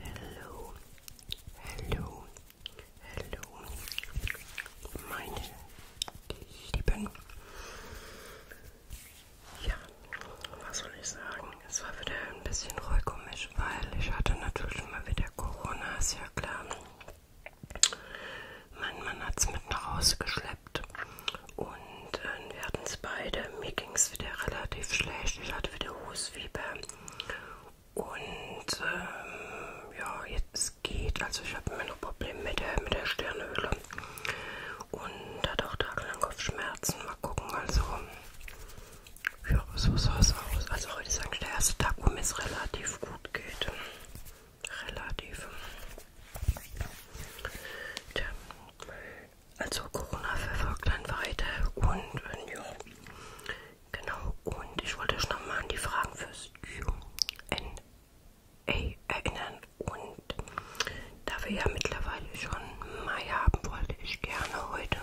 Hello, hello, hello, meine Lieben. Ja, was soll ich sagen? Es war wieder ein bisschen ruhig um mich, weil ich hatte natürlich mal wieder Corona, ist ja klar. Mein Mann hat es mit nach Hause geschleppt. Rezept und äh, wir hatten es beide. Mir ging es wieder relativ schlecht. Ich hatte wieder Husfieber und ähm, ja, jetzt geht. Also ich habe immer noch Probleme mit der, mit der Sternhöhle und hatte auch tagelang Kopfschmerzen. Mal gucken, also ja, so sah es aus. Also heute ist eigentlich der erste Tag, wo mir es relativ gut geht. Relativ. Tja also Corona verfolgt einen weiter und äh, ja, genau. Und ich wollte euch nochmal an die Fragen fürs QA erinnern. Und da wir ja mittlerweile schon Mai haben, wollte ich gerne heute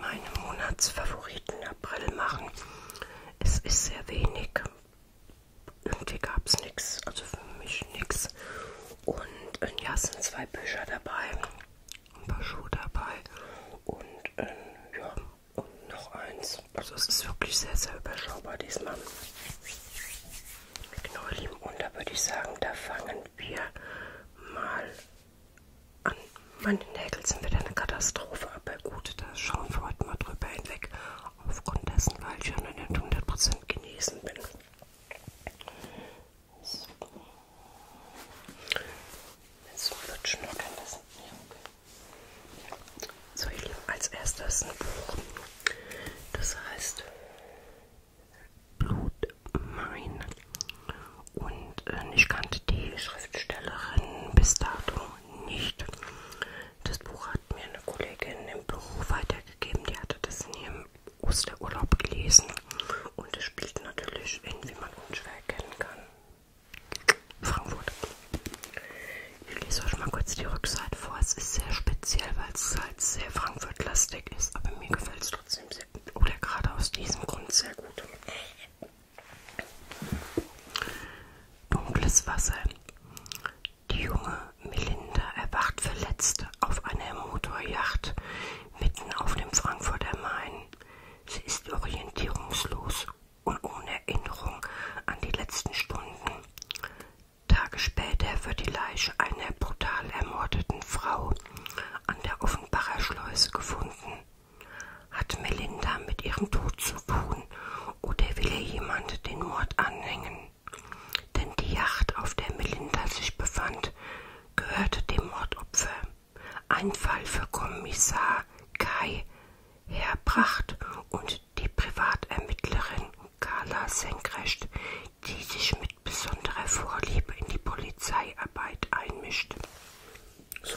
meine Monatsfavoriten April machen. Es ist sehr wenig irgendwie gab es nichts, also für mich nichts. Und äh, ja, es sind zwei Bücher dabei, ein paar Schuhe dabei und äh, ja, und noch eins. Also es ist wirklich sehr, sehr überschaubar diesmal. Genau, ihr Lieben, und da würde ich sagen, da fangen wir mal an. Meine Nägel sind wieder eine Katastrophe, aber gut, da schauen wir heute mal drüber hinweg aufgrund dessen, weil ich ja noch nicht 100% genesen bin. So. Jetzt lutschen wir kein Wissen. Ja, okay. So, ihr Lieben, als erstes ein Buch. Das heißt Blut mein. Und äh, ich kannte die Schriftstellerin bis dato nicht. Das Buch hat mir eine Kollegin im Büro weitergegeben, die hatte das in ihrem Osterurlaub gelesen und es spielt natürlich in, wie man unschwer erkennen kann, Frankfurt. Ich lese euch mal kurz die Rückseite vor. Es ist sehr speziell, weil es halt sehr Frankfurt-lastig ist, aber mir gefällt es trotzdem sehr gut oder gerade aus diesem Grund sehr gut. Dunkles Wasser. Die junge Melinda erwacht verletzt auf einer Motorjacht mitten auf dem Frankfurter Main. Sie ist orientierungslos und ohne Erinnerung an die letzten Stunden. Tage später wird die Leiche einer brutal ermordeten Frau an der Offenbacher Schleuse gefunden. Hat Melinda mit ihrem Tod zu tun oder will er jemand den Mord anhängen? Denn die Yacht, auf der Melinda sich befand, gehörte dem Mordopfer. Ein Fall für Kommissar Kai Herbracht und die Privatermittlerin Carla Senkrecht, die sich mit besonderer Vorliebe in die Polizeiarbeit einmischt. So.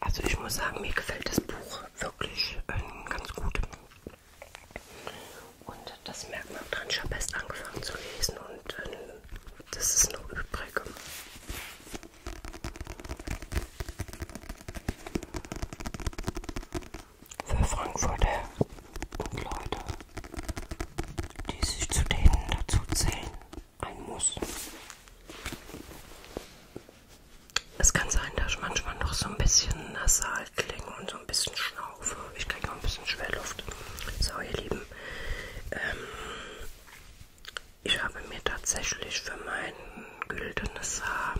Also ich muss sagen, mir gefällt das Buch wirklich ähm, ganz gut. Und das merkt man dran, ich habe erst angefangen zu lesen und ähm, das ist noch übrig. Für Frankfurter und Leute, die sich zu denen dazu zählen, ein Muss. Es kann sein, dass ich manchmal noch so ein bisschen nasal klinge und so ein bisschen schnaufe. Ich kriege noch ein bisschen Schwerluft. So, ihr Lieben. Ähm, ich habe mir tatsächlich für mein güldenes Haar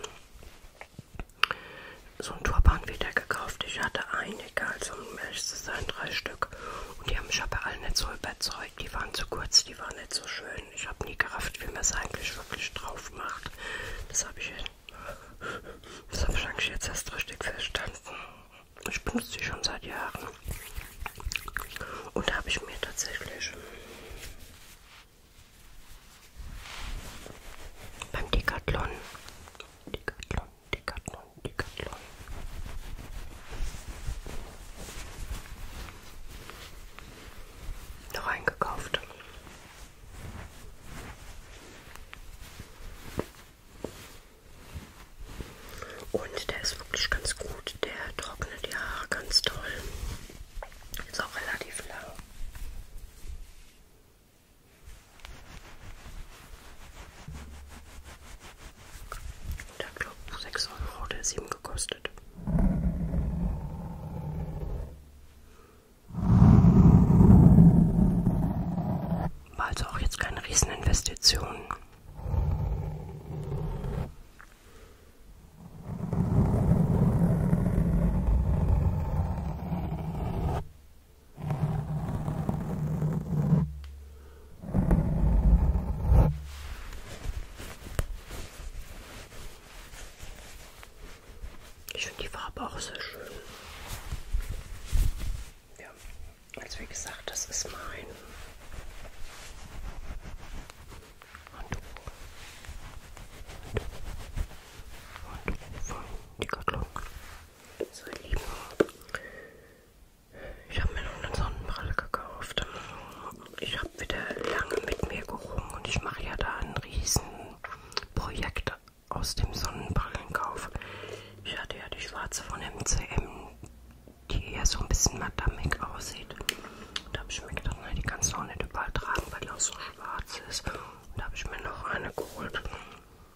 so ein Turban wieder gekauft. Ich hatte einige, also um ehrlich zu sein, drei Stück. Stück. Und die haben mich aber alle nicht so überzeugt. Die waren zu kurz, die waren nicht so schön. Ich habe nie gerafft, wie man es eigentlich wirklich drauf macht. Das habe ich, das hab ich eigentlich jetzt erst richtig verstanden. Ich benutze die schon seit Jahren. Und da habe ich mir tatsächlich beim Decathlon, Decathlon Decathlon, Decathlon. Noch eingekauft. Und der ist wirklich ganz gut. Der trocknet die Haare ganz toll. Ist auch relativ lang. Da glaube ich 6 Euro oder 7 gekostet. War also auch jetzt keine Rieseninvestition. Ich finde die Farbe auch sehr schön. Ja, also wie gesagt, das ist mein Handtuch. Handtuch von Decathlon. So, ihr Lieben, ich habe mir noch eine Sonnenbrille gekauft. Ich habe wieder lange mit mir gerungen und ich mache ja da ein riesen Projekt aus dem Sonnenbrillenkauf. Ich hatte ja die schwarze von MCM, die eher so ein bisschen madammig aussieht. Da habe ich mir gedacht, nein, die kannst du auch nicht überall tragen, weil die auch so schwarz ist. Und da habe ich mir noch eine geholt.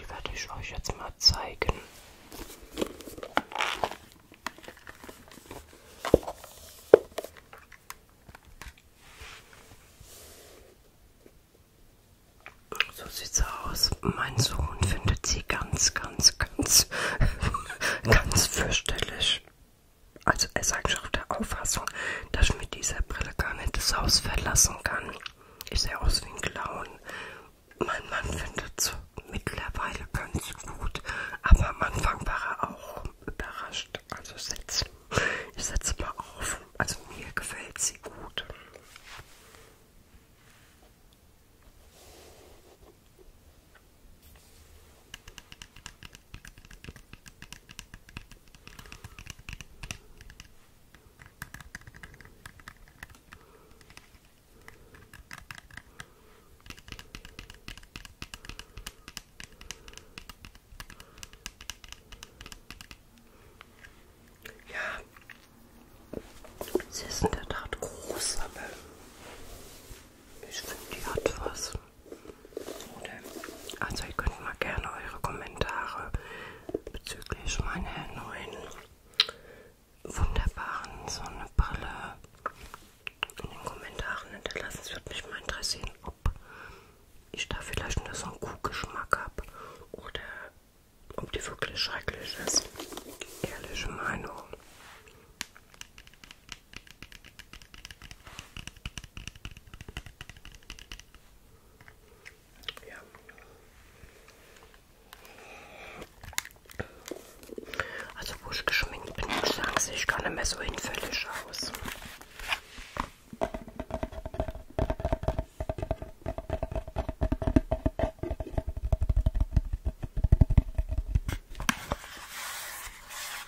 Die werde ich euch jetzt mal zeigen. So sieht's aus. Mein Sohn findet sie ganz, ganz, ganz, ganz fürchterlich also er sagt schon auf der Auffassung, dass ich mit dieser Brille gar nicht das Haus verlassen kann. Ich sehe aus wie ein Clown. Mein Mann findet es mittlerweile ganz gut, aber am Anfang war er auch überrascht. Also setz, ich setze mal auf. Also mir gefällt sie gut. Ja, sie ist in der Tat groß, aber ich finde, die hat was. Also ihr könnt mal gerne eure Kommentare bezüglich meiner neuen wunderbaren Sonnenbrille in den Kommentaren hinterlassen. Es würde mich mal interessieren, ob ich da vielleicht nur so einen Kuhgeschmack habe oder ob die wirklich schrecklich ist. Ehrliche Meinung. Ja. Also wo ich geschminkt bin, ich sagen sehe ich gar nicht mehr so hinfällig aus.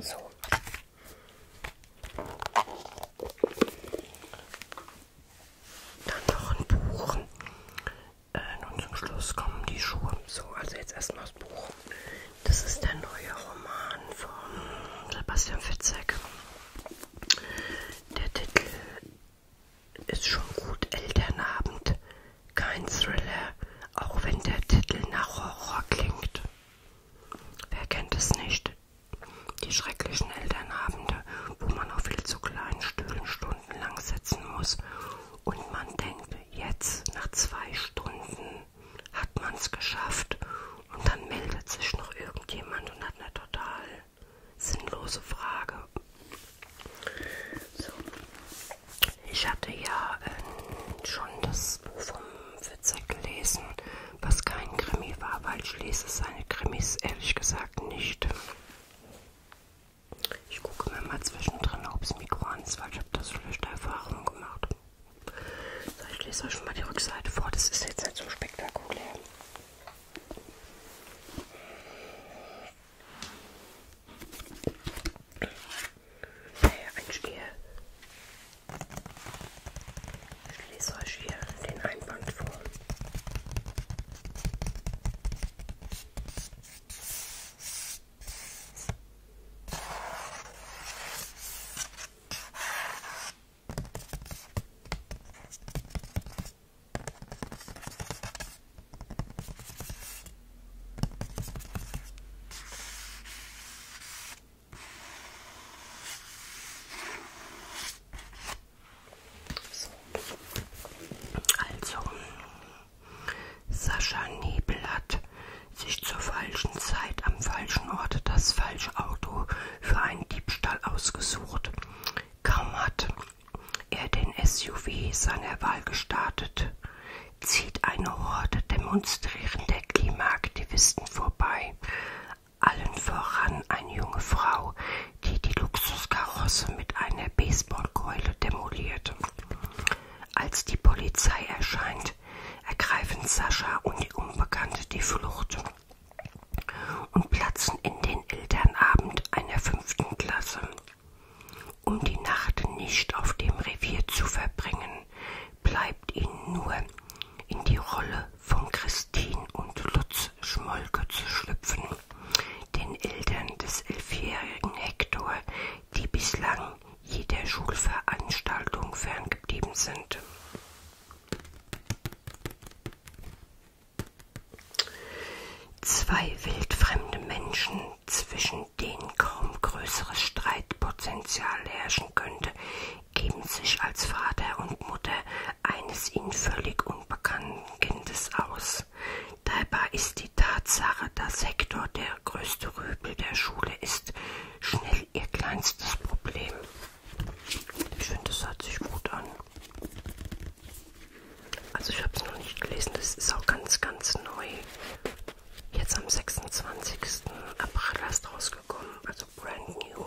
So. Dann noch ein Buch. Äh, nun zum Schluss kommen die Schuhe. So, also jetzt erstmal das Buch. Das ist der neue Roman von Sebastian Fitzek. Der Titel ist schon gut, Elternabend. Kein Thriller, auch wenn der Titel nach Horror klingt. Wer kennt es nicht? Die schrecklichen Elternabende, wo man auf viel zu kleinen Stühlen stundenlang sitzen muss und man denkt, jetzt nach zwei Stunden hat man's geschafft und dann meldet sich noch irgendjemand und hat eine total sinnlose Frage. So. Ich hatte ja äh, schon das Buch vom Fitzek gelesen, was kein Krimi war, weil ich lese seine Krimis ehrlich gesagt nicht. Ich gucke mir mal zwischendrin, ob das Mikro an ist, weil ich habe da so schlechte Erfahrungen gemacht. So, ich lese euch mal die Rückseite vor, das ist jetzt nicht so spektakulär. Naja, ein Stiel. Schließ euch hier den Einband vor. Also, Sascha Nebel hat sich zur falschen Zeit am falschen Ort das falsche Auto für einen Diebstahl ausgesucht. Kaum hat er den SUV seiner Wahl gestartet, zieht eine Horde demonstrierender Klimaaktivisten vorbei, allen voran eine junge Frau, die die Luxuskarosse mit einer Baseballkeule demoliert. Als die Polizei erscheint, ergreifen Sascha und die Unbekannte die Flucht und platzen in den Elternabend einer fünften Klasse. Um die Nacht nicht auf dem Revier zu verbringen, bleibt ihnen nur in die Rolle von Christine und Lutz Schmolke zu schlüpfen, den Eltern des elfjährigen Hector, die bislang jeder Schulveranstaltung ferngeblieben sind. Zwei wildfremde Menschen, zwischen denen kaum größeres Streitpotenzial herrschen könnte, geben sich als Vater und Mutter eines ihnen völlig unbekannten Kindes aus. Dabei ist die Tatsache, dass Hector der größte Rübel der Schule ist, schnell ihr kleinstes Problem. Ich finde, das hört sich gut an. Also ich habe es noch nicht gelesen, das ist auch ganz, ganz neu. Jetzt am 26. April erst rausgekommen, also brand new.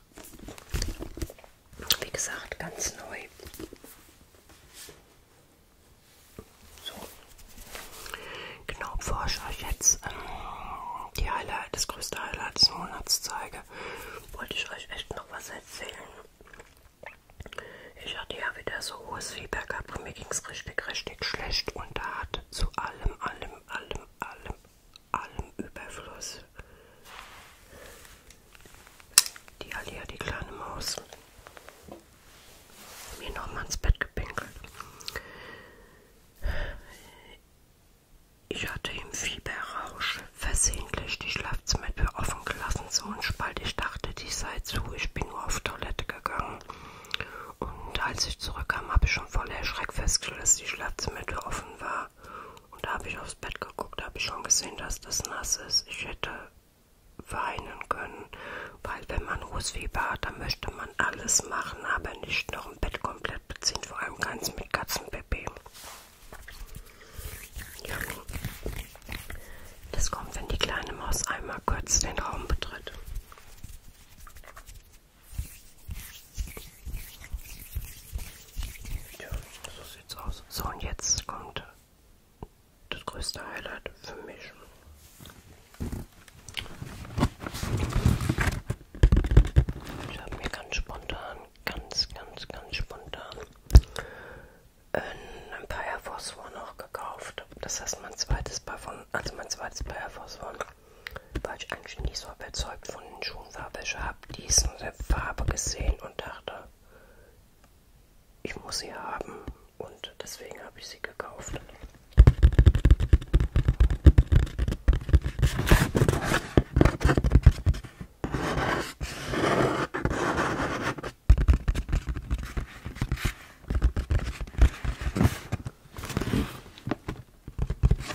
Wie gesagt, ganz neu. So. Genau, bevor ich euch jetzt ähm, die Highlight, das größte Highlight des Monats zeige, wollte ich euch echt noch was erzählen. Ich hatte ja wieder so hohes Fieber gehabt und mir ging es richtig, richtig schlecht. Und da hat zu allem, allem, allem, allem, allem Überfluss. Die Alia, die kleine Maus, mir nochmal ins Bett gepinkelt. Ich hatte im Fieberrausch versehentlich die Schlafzimmertür offen gelassen, so ein Spalt. Ich dachte, die sei zu. Ich bin nur auf Toilette gegangen. Und als ich zurückkam, habe ich schon voller Schreck festgestellt, dass die Schlafzimmertür offen offen war. Und da habe ich aufs Bett geguckt, habe ich schon gesehen, dass das nass ist. Ich hätte weinen können, weil wenn man Rußfieber hat, dann möchte man alles machen, aber nicht noch ein Bett komplett beziehen, vor allem keins mit Katzenbaby. Ja. Das kommt, wenn die kleine Maus einmal kurz den Raum betritt. Ja, so sieht's aus. So, und jetzt kommt das größte Highlight für mich. Ich habe mir ganz spontan, ganz, ganz, ganz spontan äh, ein paar Air Force One noch gekauft. Das ist mein zweites Paar von, also mein zweites Paar Air Force One war ich eigentlich nie so überzeugt von den Schuhfarben. Ich habe diese Farbe gesehen und dachte, ich muss sie haben und deswegen habe ich sie gekauft.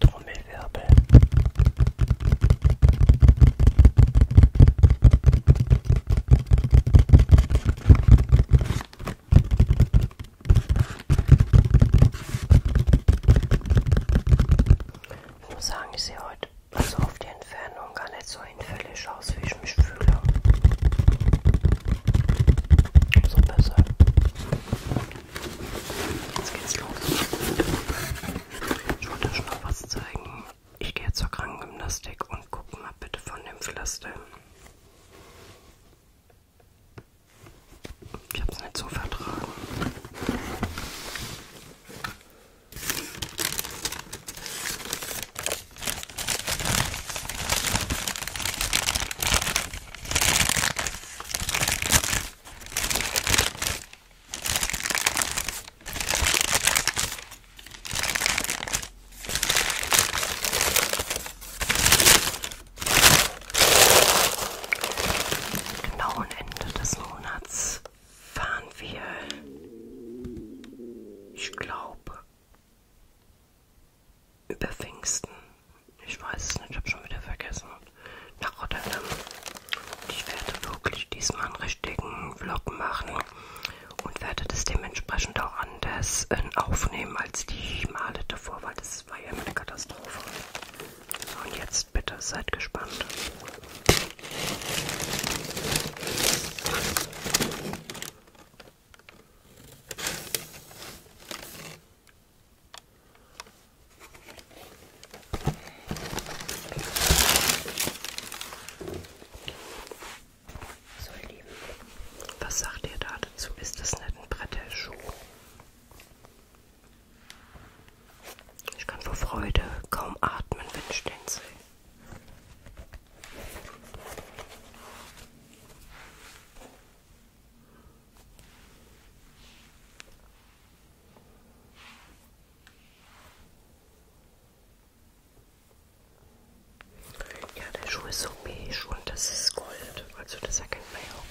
Trommelwirbel. Ich muss sagen, ich sehe heute also auf die Entfernung gar nicht so hinfällig aus wie ich mich fühle, umso besser. Jetzt geht's los. Ich wollte schon noch was zeigen. Ich gehe zur Krankengymnastik und gucke mal bitte von dem Pflaster. Ich hab's nicht so vertragen. Genau und Ende des Monats fahren wir, ich glaube, über Pfingsten. Ich weiß es nicht, ich habe schon wieder vergessen. Nach Rotterdam. Und ich werde wirklich diesmal einen richtigen Vlog machen und werde das dementsprechend auch anders ähm, aufnehmen als die Male davor, weil das war ja immer eine Katastrophe. So, und jetzt bitte seid gespannt. So ihr Lieben, was sagt ihr da dazu? Ist das nicht ein Brettelschuh? Ich kann vor Freude kaum atmen, wenn ich den sehe. Ja, der Schuh ist so beige und das ist Gold, also das erkennt man ja auch.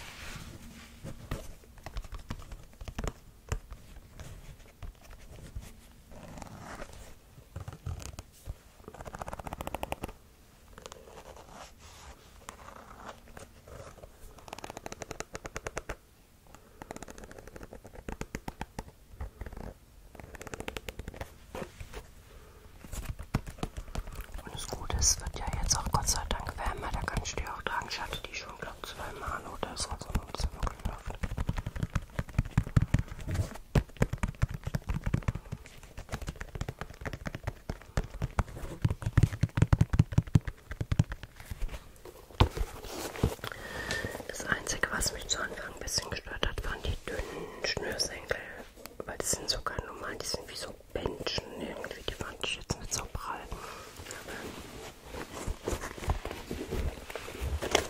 Und das Gute ist, es wird ja jetzt auch Gott sei Dank wärmer, da kann ich die auch tragen. Ich hatte die schon, glaube ich, zweimal an oder so, sondern also es ist wirklich läuft. Das Einzige, was mich zu Anfang ein bisschen gestört hat, waren die dünnen Schnürsenkel. Weil die sind sogar normal, die sind wie so Bändchen irgendwie. Die fand ich jetzt nicht so prall. Aber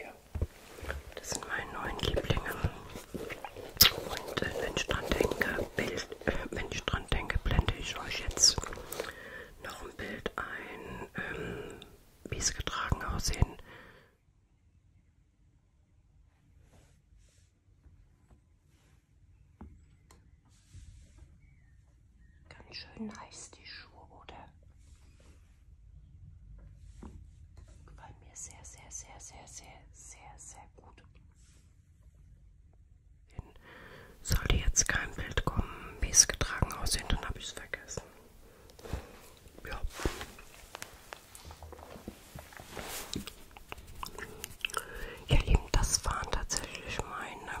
Ja. Das sind meine neuen Lieblinge. Und äh, wenn ich dran denke, Bild, äh, wenn ich dran denke, blende ich euch jetzt noch ein Bild ein, ähm, wie es getragen aussehen. Ganz schön heiß die Schuhe, oder? Gefallen mir sehr, sehr, sehr, sehr, sehr, sehr, sehr gut. Sollte jetzt kein Bild kommen, wie es getragen aussieht, dann habe ich es vergessen. Ja. Ihr Lieben, das waren tatsächlich meine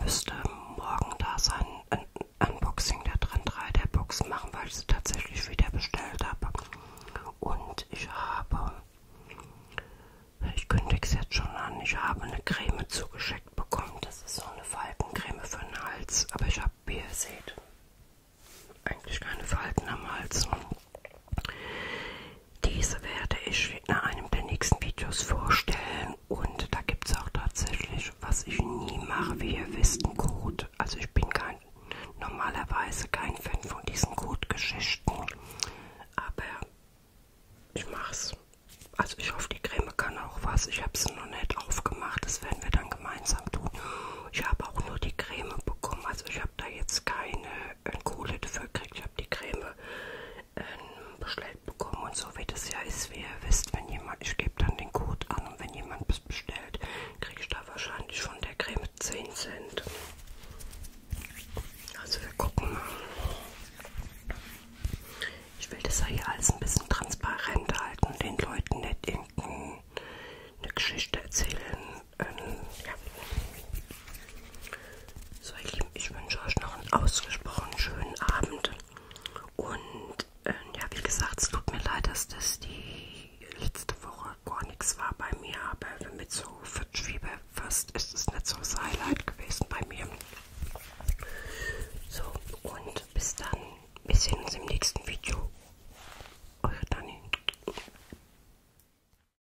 müsste morgen da sein. Ein Unboxing der Trend 3 der Boxen machen, weil ich sie tatsächlich wieder bestellt habe. Und ich habe, ich kündige es jetzt schon an, ich habe eine Creme zugeschickt bekommen. Das ist so eine Faltencreme für den Hals. Aber ich habe, wie ihr seht, eigentlich keine Falten am Hals. Und diese werde ich in einem der nächsten Videos vorstellen und da gibt es auch tatsächlich, was ich nie mache, wie ihr wisst, einen Code. Also ich bin kein, normalerweise kein Fan von diesen Code-Geschichten, aber ich mach's. Also ich hoffe, die Creme kann auch was. Ich habe sie noch nicht aufgemacht, das werden wir dann gemeinsam tun. Ich habe auch nur die Creme bekommen, also ich habe da jetzt keine äh, Kohle dafür gekriegt. Ich habe die Creme einen ähm, Bestellt bekommen und so wie das ja ist, wie ihr wisst, wenn jemand, ich gebe dann den Code an und wenn jemand was bestellt, kriege ich da wahrscheinlich von der Creme 10 Cent. Also wir gucken mal. Ich will das ja hier alles ein bisschen transparent halten, den Leuten nicht irgendeine Geschichte erzählen, ähm, ja. So ihr Lieben, ich wünsche euch noch einen ausgesprochen schönen Abend. Und ähm, ja, wie gesagt, es tut mir leid, dass das die letzte Woche gar nichts war bei mir. Aber mit so Fitchfieber fast ist es nicht so das Highlight gewesen bei mir. So, und bis dann. Wir sehen uns im nächsten Video. Eure Dani.